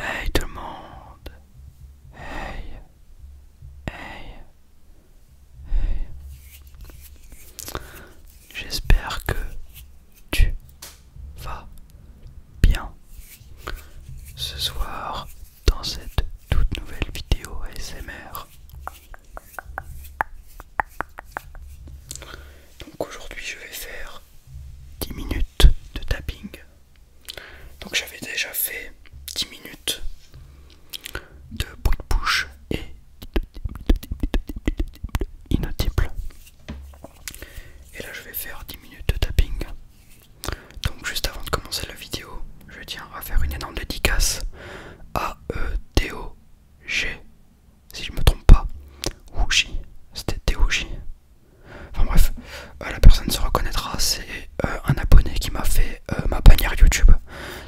Hey tout le monde Hey Hey Hey J'espère que tu vas bien ce soir dans cette toute nouvelle vidéo ASMR. Donc aujourd'hui je vais faire 10 minutes de tapping. Donc j'avais déjà fait 10 minutes de bruit de bouche et inaudible. Et là je vais faire 10 minutes de tapping. Donc juste avant de commencer la vidéo, je tiens à faire une énorme dédicace à e T, O, G, si je me trompe pas, ou J, c'était Théo J. Enfin bref, euh, la personne se reconnaîtra, c'est euh, un abonné qui m'a fait euh, ma bannière YouTube.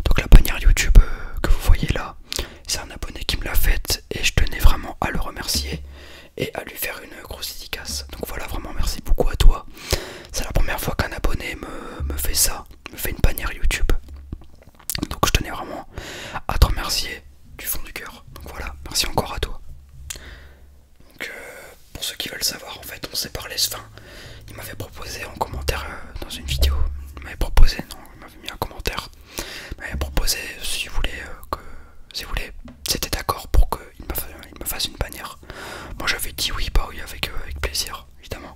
Donc la bannière YouTube que vous voyez là, c'est un abonné qui me l'a faite et je tenais vraiment à le remercier et à lui faire une grosse dédicace. Donc voilà, vraiment merci beaucoup à toi. C'est la première fois qu'un abonné me, me fait ça, me fait une bannière YouTube. Donc je tenais vraiment à te remercier du fond du cœur. Donc voilà, merci encore à toi. Donc, pour ceux qui veulent savoir, en fait, on s'est parlé. fin, il m'avait proposé en commentaire euh, dans une vidéo. Il m'avait proposé, non, il m'avait mis un commentaire. Il m'avait proposé si vous voulez euh, que. Si vous voulez, c'était d'accord pour qu'il me, me fasse une bannière. Moi j'avais dit oui, bah oui, avec, euh, plaisir, évidemment.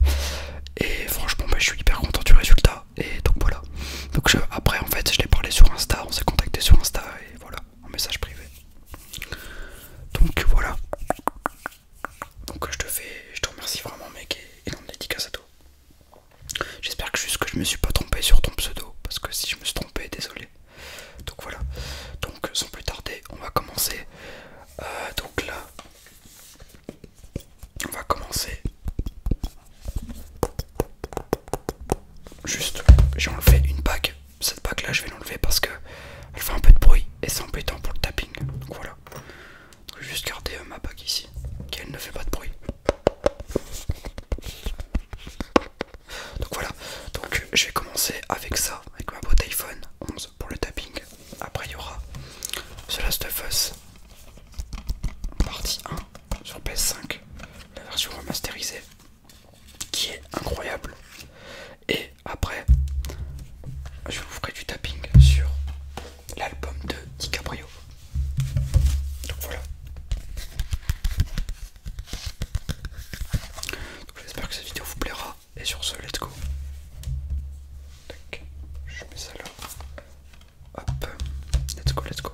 Et franchement, bah, je suis hyper content du résultat. Et donc voilà. Donc après, en fait, je l'ai parlé sur Insta, on s'est contacté sur Insta, et voilà en message privé. Donc voilà. Donc je te fais, je te remercie vraiment mec et en dédicace à toi. J'espère que juste que je me suis pas trompé sur ton pseudo parce que si je me suis trompé, désolé. Donc voilà. Donc sans plus tarder, on va commencer. Euh, donc là, on va commencer. Juste, j'ai enlevé une bague cette bague là je vais l'enlever parce que elle fait un peu de bruit et c'est embêtant pour le tapping donc voilà je vais juste garder euh, ma bague ici qu'elle ne fait pas de bruit donc voilà donc je vais commencer avec ça avec ma boîte iPhone 11 pour le tapping après il y aura The Last of Us partie 1 sur PS5 la version remasterisée qui est incroyable. Et après, je vous ferai du tapping sur l'album de DiCaprio. Donc voilà. J'espère que cette vidéo vous plaira. Et sur ce, let's go. je mets ça là. Hop, let's go, let's go.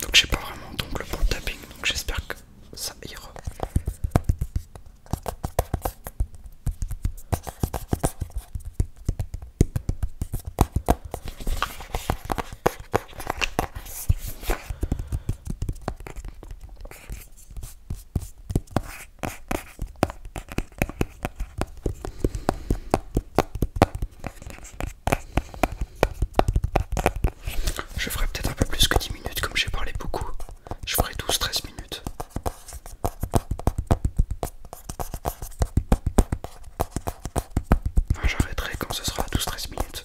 Donc j'ai pas vraiment d'ongle pour le tapping, donc j'espère que ça ira. Je ferai peut-être un peu plus que 10 minutes comme j'ai parlé beaucoup. Je ferai 12-13 minutes. j'arrêterai quand ce sera 12-13 minutes.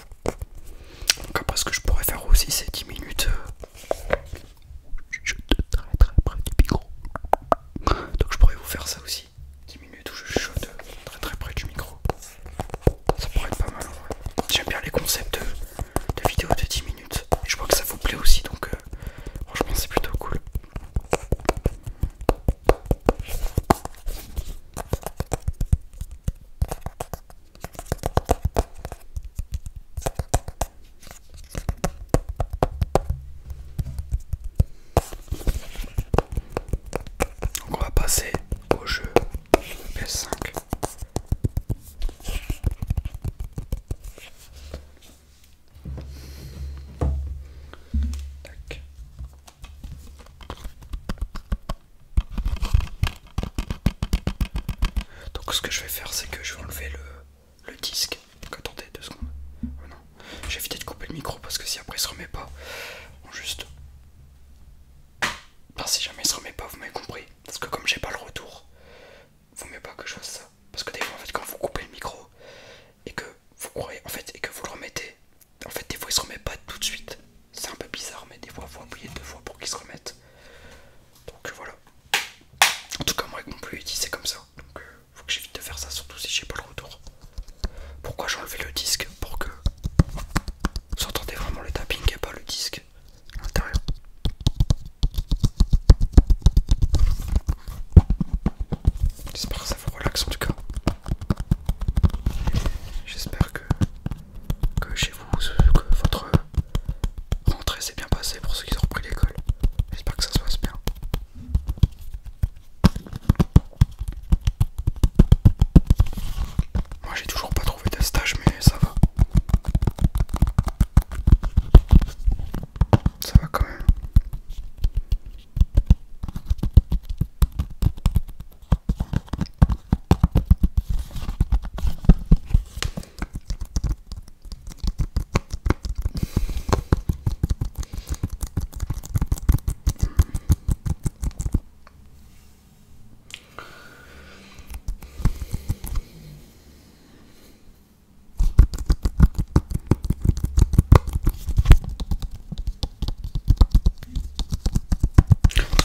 Donc après ce que je pourrais faire aussi c'est 10 minutes euh, je de très très près du micro. Donc je pourrais vous faire ça aussi. 10 minutes où je chuchote très très près du micro. Ça pourrait être pas mal. J'aime bien les concepts de, vidéos de 10 minutes. je vois que ça vous plaît aussi donc euh, franchement c'est plutôt cool on va passer au jeu PS5. Tac. Donc ce que je vais faire c'est que je vais enlever le, disque. Donc attendez deux secondes. Oh j'ai évité de couper le micro parce que si après il se remet pas, juste. si jamais il se remet pas, vous m'avez compris. Parce que comme j'ai pas le retour, vous voulez pas que je fasse ça. Parce que des fois en fait quand vous coupez le micro et que vous et que vous le remettez, en fait des fois il se remet pas tout de suite. C'est un peu bizarre, mais des fois, faut appuyer deux fois pour qu'ils se remettent. Donc euh, voilà. En tout cas, moi, avec mon plus c'est comme ça. Donc, euh, faut que j'évite de faire ça, surtout si j'ai pas le retour. Pourquoi j'ai enlevé le disque Pour que vous entendez vraiment le tapping et pas le disque à l'intérieur. J'espère que ça vous relaxe en tout cas. J'espère que que chez vous, que votre rentrée s'est bien passée pour ceux qui ont repris l'école. J'espère que ça se passe bien. Moi j'ai toujours pas trouvé de stage mais ça va. Ça va quand même.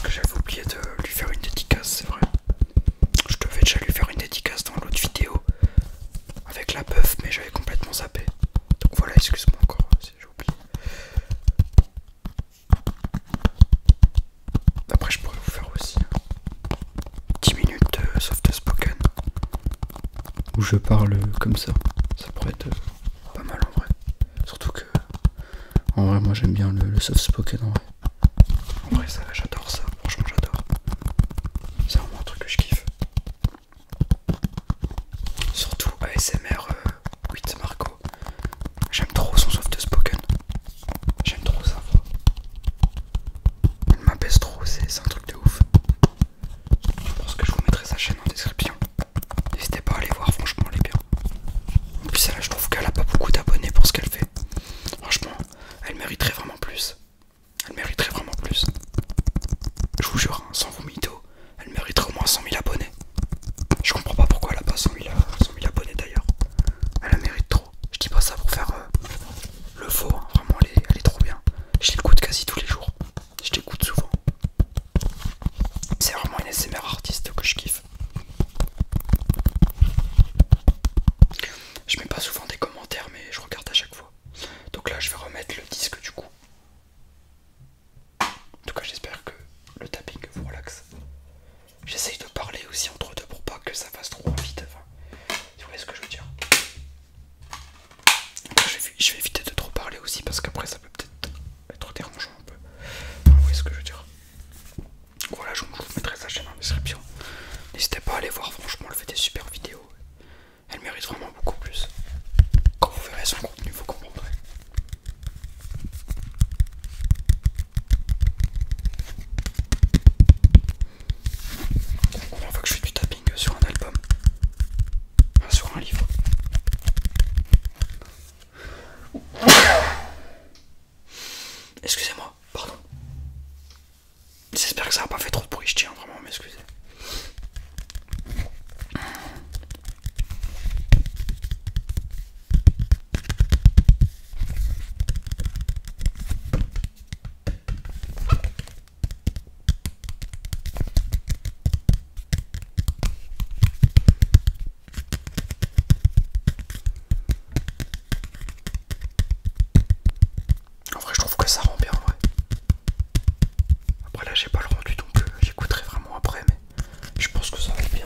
J'avais oublié de lui faire une dédicace, c'est vrai. Je devais déjà lui faire une dédicace dans l'autre vidéo avec la bœuf mais j'avais complètement zappé. Donc voilà, excuse-moi encore si j'oublie Après, je pourrais vous faire aussi 10 minutes de soft spoken où je parle comme ça. Ça pourrait être pas mal en vrai. Surtout que, en vrai, moi j'aime bien le soft spoken en vrai. En vrai, ça, j'adore ça. Franchement, j'adore. C'est vraiment un truc que je kiffe. Surtout ASMR euh, With Marco. J'aime trop son soft spoken. J'aime trop ça Il Elle m'apaise trop, c'est un truc de ouf. Je pense que je vous mettrai sa chaîne en description. N'hésitez pas à aller voir, franchement, les est bien. En plus, là, je trouve qu'elle a pas beaucoup d'abonnés pour ce qu'elle fait. Franchement, elle mériterait vraiment plus. Elle mériterait vraiment plus. Je vous jure, hein, sans vous mytho, elle mériterait au moins 100 000 abonnés. Je comprends pas pourquoi elle a pas 100 000, abonnés d'ailleurs. Elle la mérite trop. Je dis pas ça pour faire euh, le faux. Hein. Vraiment, elle est, trop bien. Je l'écoute quasi tous les jours. Je l'écoute souvent. C'est vraiment une SMR artiste que je kiffe. Je mets pas souvent des commentaires, mais je regarde à chaque fois. Donc là, je vais remettre le disque du coup. En tout cas, j'espère que le tapping vous relaxe. J'essaye de parler aussi entre deux pour pas que ça fasse trop vite. vous voyez ce que je veux dire. je, vais, éviter de trop parler aussi parce qu'après ça peut peut-être être dérangeant un peu. vous voyez ce que je veux dire. Voilà, je vous mettrai sa chaîne en description. N'hésitez pas à aller voir, franchement, elle fait des super vidéos. Elle mérite vraiment beaucoup plus. Quand vous verrez son contenu, vous comprendrez. On voit que je fais du tapping sur un album, sur un livre. Excusez-moi, pardon. J'espère que ça n'a pas fait trop de bruit, je tiens vraiment à m'excuser. En vrai, je trouve que ça rend bien, en vrai. Après, là, j'ai pas le rendu, non plus. Euh, j'écouterai vraiment après, mais je pense que ça va être bien.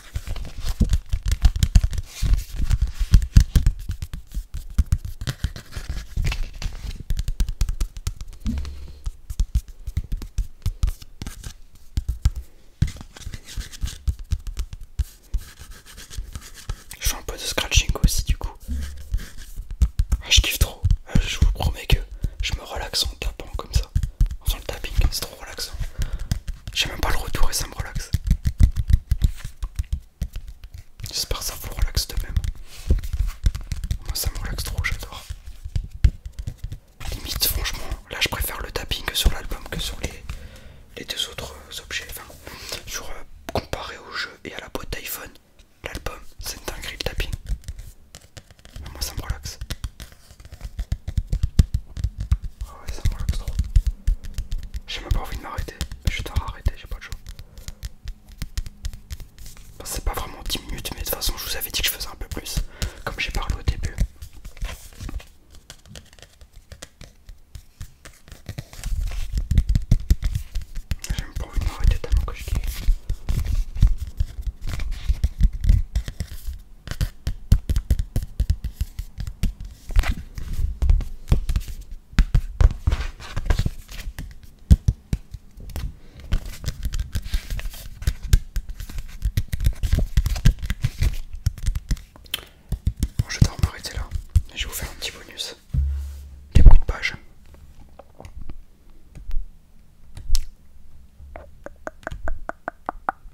Je fais un peu de scratching aussi du coup. Ah, je kiffe trop. Ah, je vous promets que je me relaxe en tapant comme ça. En faisant le tapping, c'est trop relaxant. J'ai même pas le retour et ça me relaxe. J'espère que ça vous relaxe de même. Moi ça me relaxe trop, j'adore. Limite, franchement, là je préfère le tapping sur l'album que sur les, les deux autres euh, objets. Enfin, euh, comparé au jeu et à la boîte d'iPhone, l'album c'est une dinguerie le tapping. Moi ça me relaxe. Ah ouais, ça J'ai même pas envie de m'arrêter. Je suis tard arrêté, j'ai pas le choix. c'est pas vraiment 10 minutes, mais de toute façon, je vous avais dit que je faisais un peu plus, comme j'ai parlé au début. J'ai même pas envie de m'arrêter tellement que je kiffe. Bon, je vais arrêter là. Je vous faire un petit bonus. Des bruits de page.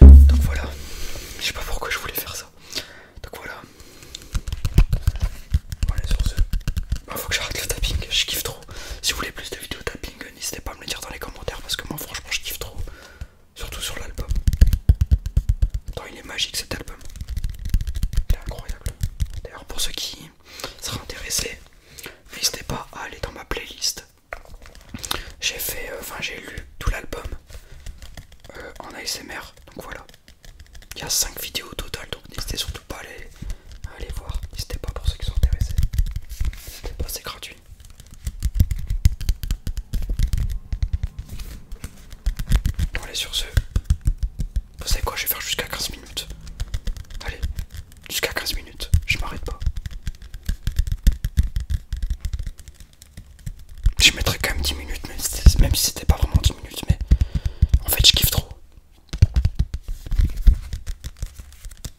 Donc voilà, je sais pas pourquoi je voulais faire ça. Donc voilà. Voilà sur ce. il bah, faut que j'arrête le tapping, je kiffe trop. Si vous voulez plus de vidéos tapping, n'hésitez pas à me le dire dans les commentaires parce que moi franchement je kiffe trop. Surtout sur l'album. Il est magique cet album. Il est incroyable. D'ailleurs, pour ceux qui seraient intéressés, n'hésitez pas à aller dans ma playlist. J'ai fait, euh, enfin, j'ai lu tout l'album euh, en ASMR. Donc voilà, il y a 5 vidéos au total. Donc n'hésitez surtout pas à aller, voir. N'hésitez pas pour ceux qui sont intéressés. pas, c'est gratuit. On allez, sur ce, vous savez quoi, je vais faire jusqu'à 15 minutes. Allez, jusqu'à 15 minutes, je m'arrête pas. Je mettrais quand même 10 minutes, même si, c'était pas vraiment 10 minutes, mais en fait je kiffe trop.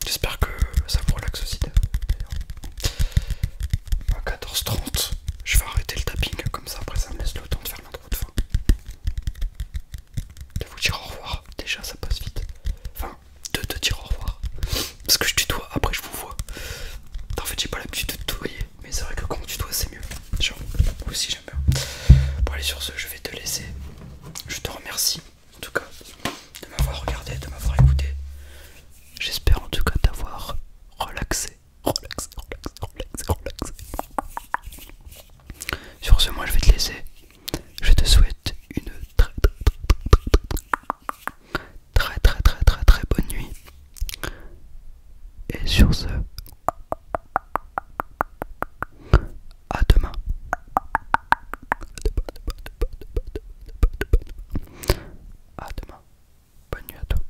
J'espère que ça vous relaxe aussi À 14h30, je vais arrêter le tapping, comme ça après ça me laisse le temps de faire l'intro de de vous dire au revoir. Déjà, ça passe vite. Enfin, de te dire au revoir. Parce que je tutoie, après je vous vois. En fait, j'ai pas l'habitude de tutoyer, mais c'est vrai que quand on tutoie, c'est mieux. moi aussi j'aime bien. Bon, allez, sur ce, je vais te laisser. Je te remercie, en tout cas, de m'avoir regardé, de m'avoir écouté. J'espère en tout cas t'avoir relaxé relaxer, relaxer, relaxer, relaxer, Sur ce, moi je vais te laisser. Je te souhaite une très très très très très très bonne nuit. Et sur ce, à demain. À demain. Bonne nuit à toi.